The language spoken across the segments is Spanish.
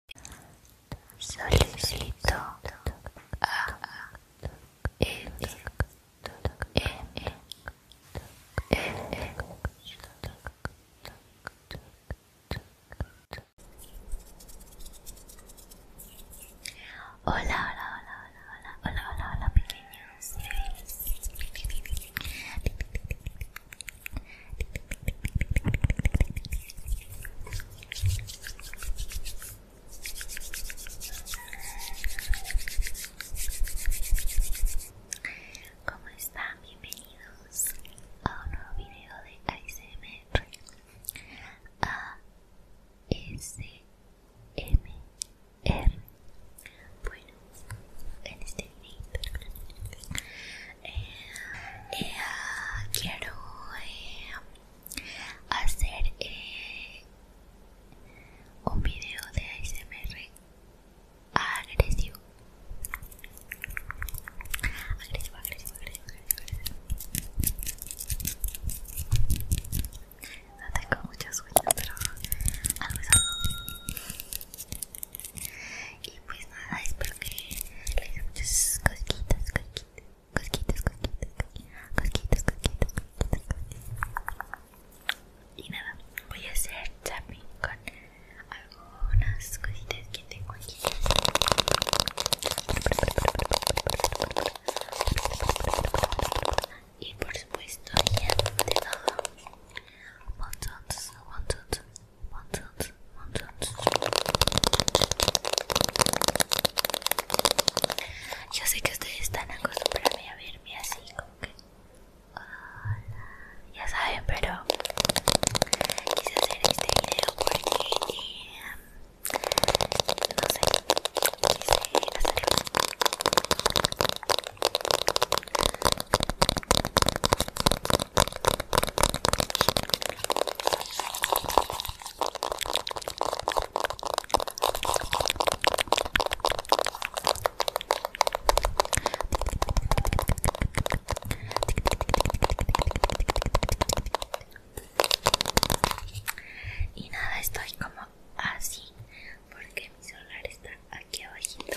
a Hola, hola, hola, hola, hola, hola, hola, hola, pequeños. ¿Cómo están? Bienvenidos a un nuevo video de ASMR ASMR Bueno, en este video eh, eh, quiero eh, hacer eh, un video de ASMR agresivo. Agresivo, agresivo, agresivo, agresivo. No tengo mucha suerte pero algo y pues nada, espero que les gusten muchas cosquitas, cosquitas, cosquitas, cosquitas, cosquitas, cosquitas, Y nada, voy a hacer tapping con algunas cositas que tengo aquí. Y por supuesto, ya de todo. Montón, montón, montones, montones Yo sé que ustedes están acostumbrados a verme así, como que. Hola, ya saben, pero quise hacer este video porque. Em, no sé, quise hacerlo. Y nada, estoy como así porque mi solar está aquí abajito.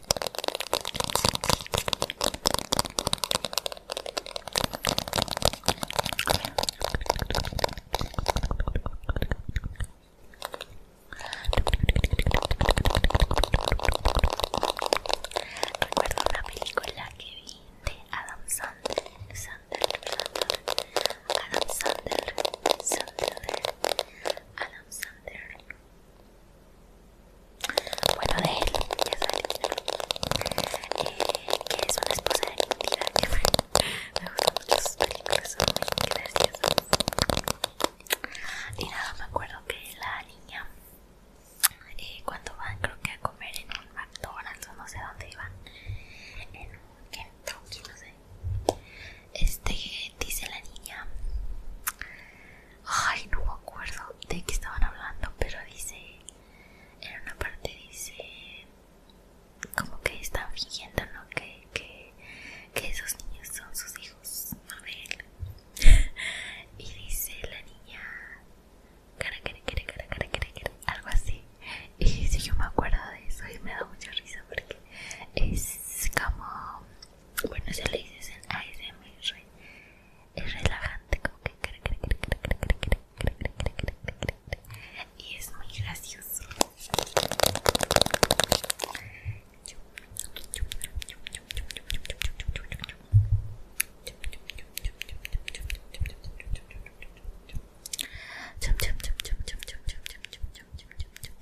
Recuerdo una película que vi de Adam Sandler, Sandler, Sandler, Adam Sandler, Sander, Adam Sander bueno de él ya sabes eh, que es una esposa de mentira que me, gustan mucho sus películas son muy graciosas y nada me acuerdo que la niña eh, cuando van creo que a comer en un McDonald's o no sé dónde iban en un Kentucky no sé este, dice la niña. Ay, no me acuerdo de qué estaban hablando, pero dice. En una parte dice. Como que están fingiendo, Que, que, esos niños son sus hijos. y dice la niña. Cara, cara, quiere algo así. Y yo me acuerdo de eso y me da mucha risa porque es como bueno, se le dicen ASMR. Es relajante, como que. Y es muy gracioso.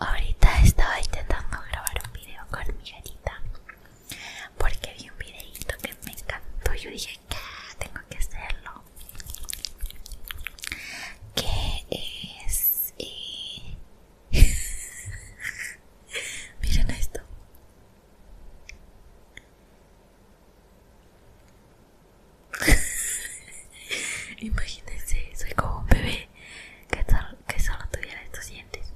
Ahorita estaba intentando grabar un video con mi gatita porque vi un videito que me encantó. Yo dije que tengo que hacerlo. Que es. Eh... Miren esto. Imagínense, soy como un bebé que, solo, tuviera estos dientes.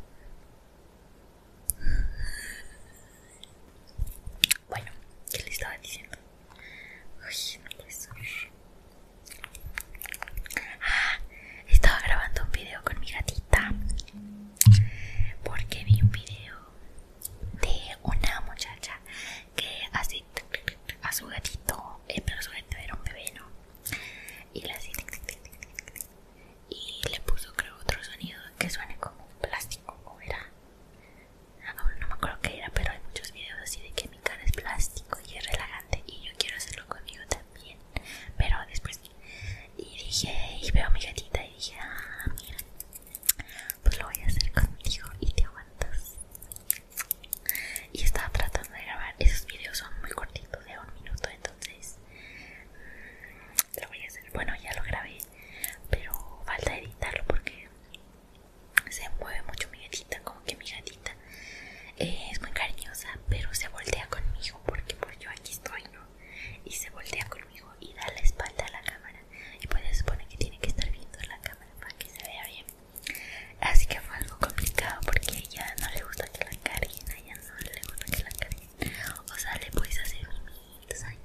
Bueno, ¿qué le estaba diciendo? Ah, estaba grabando un video con mi gatita porque vi un video de una muchacha que así a su gatito, eh, pero su gatito era un bebé, ¿no? Y le así y le puso creo otro sonido que suene como plástico o era no me acuerdo qué era pero hay muchos videos así de que mi cara es plástico y es relajante y yo quiero hacerlo conmigo también pero después y dije y veo a mi gatita y dije ah mira pues lo voy a hacer contigo y te aguantas y estaba tratando de grabar esos videos son muy cortitos de un minuto entonces mm, lo voy a hacer bueno ya lo grabé pero falta editarlo porque se mueve mucho mi gatita como que mi gatita eh, es muy cariñosa pero se voltea conmigo porque pues yo aquí estoy no y se voltea conmigo y da la espalda a la cámara y pues se supone que tiene que estar viendo la cámara para que se vea bien Así que fue algo complicado porque a ella no le gusta que la carguen, a ella no le gusta que la carguen. O sea, le puedes hacer mimitos, ay,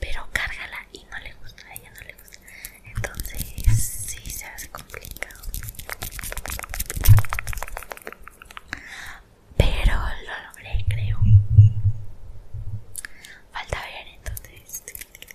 pero cárgala y no le gusta, a ella no le gusta. Entonces, sí se hace complicado. Pero lo logré, creo. Falta ver, entonces.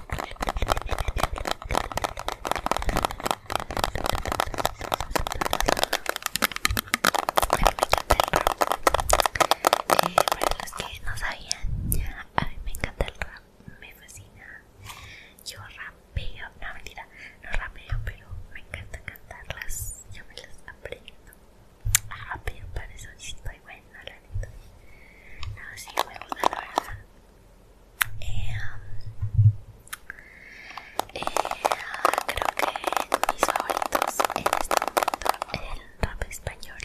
eh, para los que no sabían, a mí me encanta el rap, me fascina. Yo rapeo, no mentira, no rapeo, pero me encanta cantarlas, yo me las aprendo. rapeo pero para eso sí estoy buena, la neta. No, sí, me gusta la eh, eh, creo que mis favoritos en este momento el rap español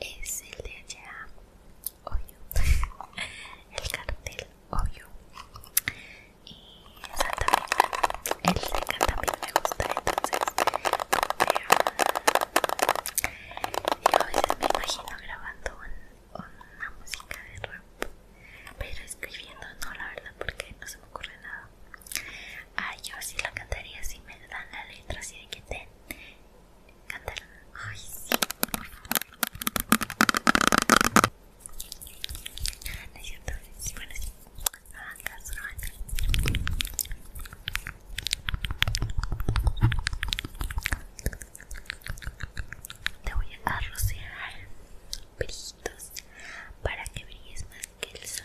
es el de allá el cartel obvio y exactamente bueno el de Cantabria también me gusta entonces ah, yo a veces me imagino grabando una música de rap, pero escribiendo no, la verdad, porque no se me ocurre nada. yo sí la cantaría si me dan la letra, así de que te cantaron. Ay, sí, por favor. No es cierto, sí, bueno, sí. No ah, no te voy a rociar pelitos para que brilles más que el sol.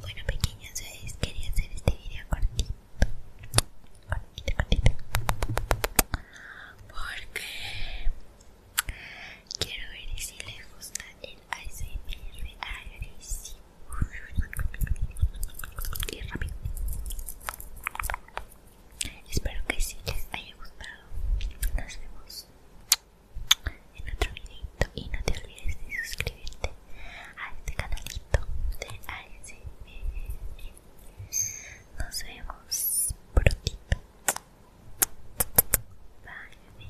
Bueno pequeñas les quería hacer este video cortito Cortito, Porque quiero ver si les gusta el ASMR agresivo Y rápido Espero que sí les haya gustado Nos vemos en otro videito y no te olvides de suscribirte a este canalito de ASMR nos vemos pronto bye